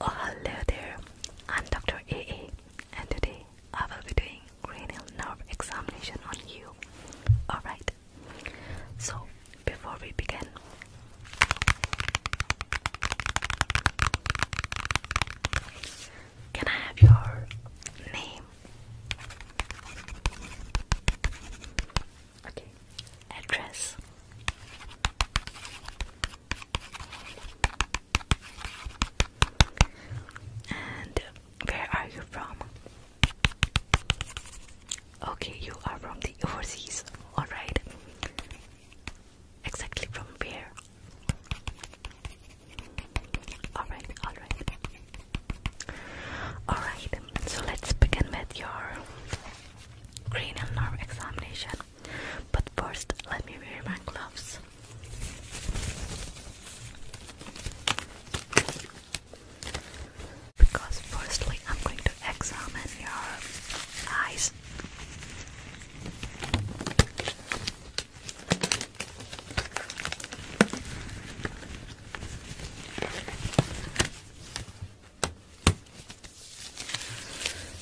Oh hello there, I'm Dr. AA and today I will be doing cranial nerve examination on you. Alright, so before we begin, can I have your name? Okay, address. And where are you from? Okay, you are from the overseas. Alright. Exactly from where? Alright, alright. Alright, so let's begin with your cranial nerve examination. But first, let me wear my gloves. Because firstly, I'm going to examine your eyes.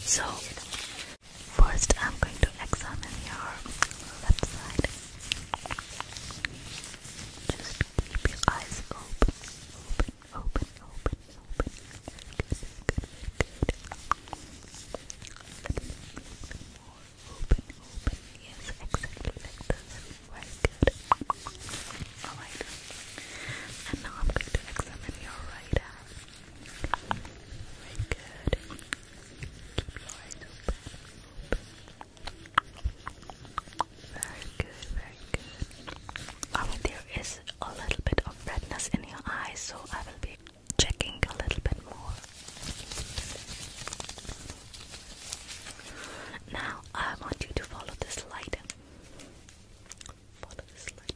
So, first I'm going to examine your left side. Just keep your eyes open, open, open, open, open. Good, good, good. More open, open. Yes, exactly like this. good. Alright. And now I'm going to examine your right eye. Very good. Keep your eyes open. Very good, very good. Alright, there is a little bit of redness in your eyes, so I will be checking a little bit more. Now I want you to follow this light. Follow this light.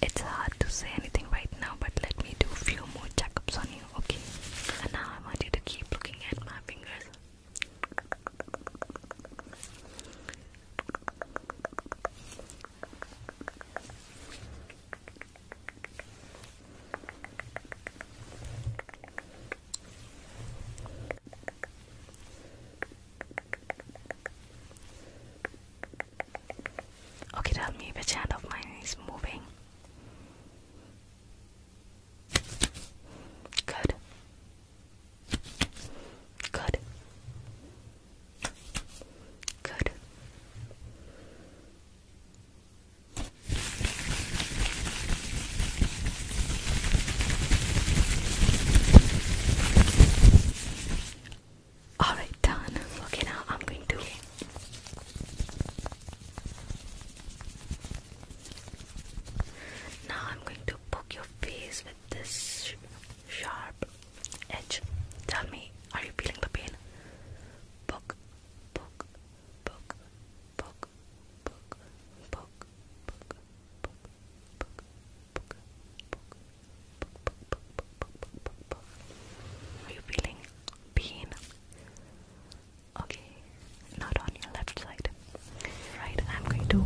It's hard to say anything right now, but let me do a few more checkups on you, okay? And now I want you to keep looking at my fingers. Okay, tell me which hand of mine is moving. Good. Good. Good. Alright, done. Okay, now I'm going to. Now I'm going to poke your face with this sharp edge. Tell me, are you feeling the pain? Poke, poke, poke, poke, poke, poke, poke, poke, poke, poke, poke, are you feeling pain? Okay, not on your left side. Right, I'm going to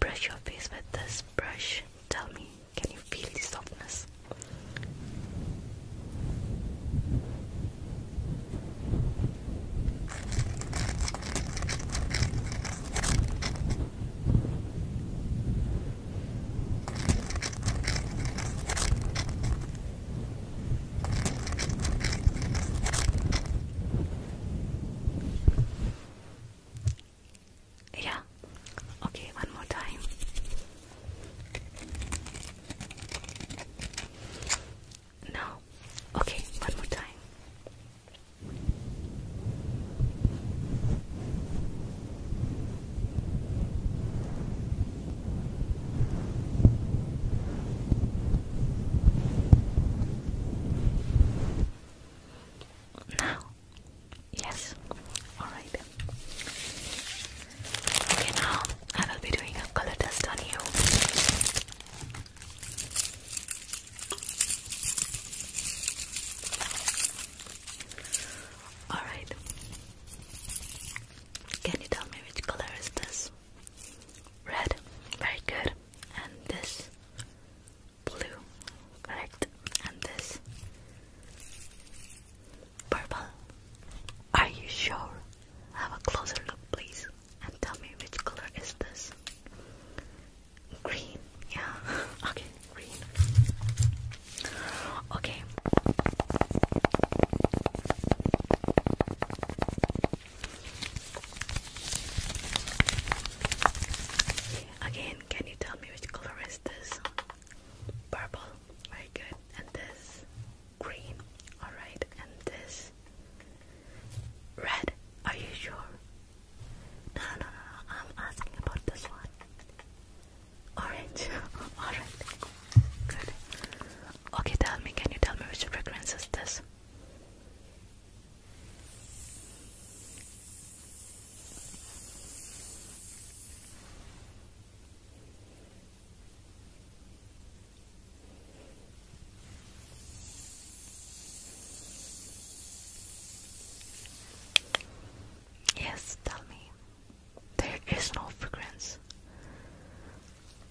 brush your face with this brush. Tell me, can you feel the softness? Yeah. Okay, one more time. Now, okay, one more time. Now, yes, all right. Okay, now I will be doing a color test on you. Alright. Can you tell me which color is this? Red. Very good. And this? Blue. Correct. And this? Purple. Are you sure? Have a closer look, please. And tell me which color is this? Green. Yeah. okay green. Okay. Again, can you tell me which color is this? Purple. Very good. And this green. Alright. And this red. Are you sure? no, no, no. I'm asking about this one. Orange. Alright. Good. Okay, tell me, can you tell me which fragrance is this? Yes, tell me. There is no fragrance.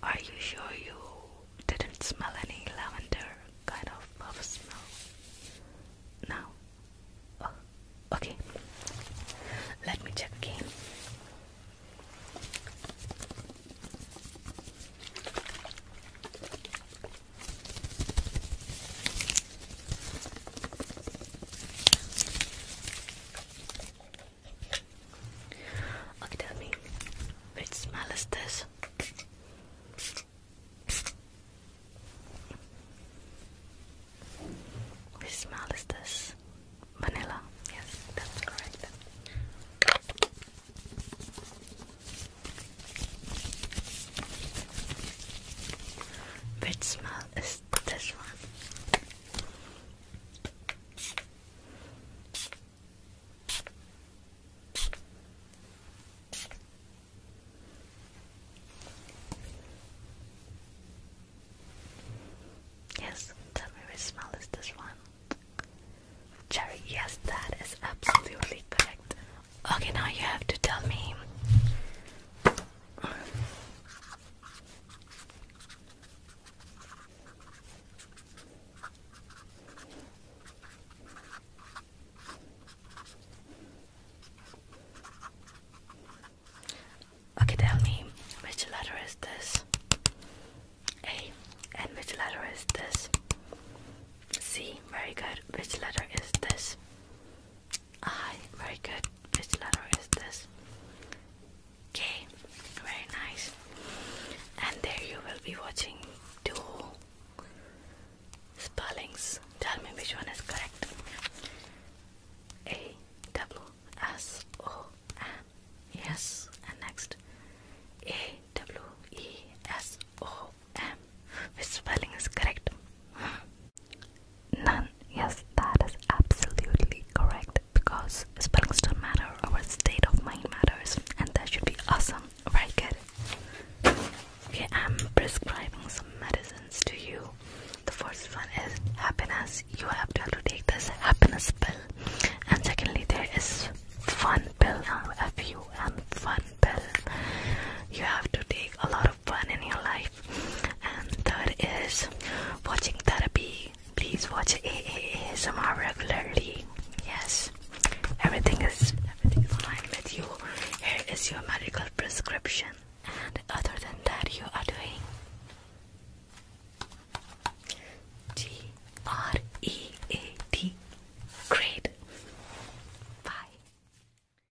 Are you sure you didn't smell any lavender kind of smell? Now, oh, okay. Let me check again. Okay, tell me, which smell is this? Which smell is this? Vanilla. Yes, that's correct. Which smell is this one. Yes, tell me which smell is this one. Cherry, yes, that is absolutely correct. Okay, now you have to tell me. Okay, tell me which letter is this? A. And which letter is this? C. Very good. Which letter is this? Aye, very good. Which letter is this? K. Very nice. And there you will be watching two spellings. Tell me which one is correct. A W S O N. Yes. And next A W E S O M. Which spelling is correct? None. Yes, that is absolutely correct because spelling don't matter, our state of mind matters, and that should be awesome. Very good. Okay, I'm prescribing some medicines to you. The first one is happiness. You have to, take this happiness pill, and secondly, there is fun pill, Now, F U N fun pill. You have to take a lot of fun in your life. And third is watching therapy. Please watch AAASMR regularly. Yes, everything is everything is fine with you. Here is your medical prescription. And other than that, you are doing G R E A T. Great. Bye.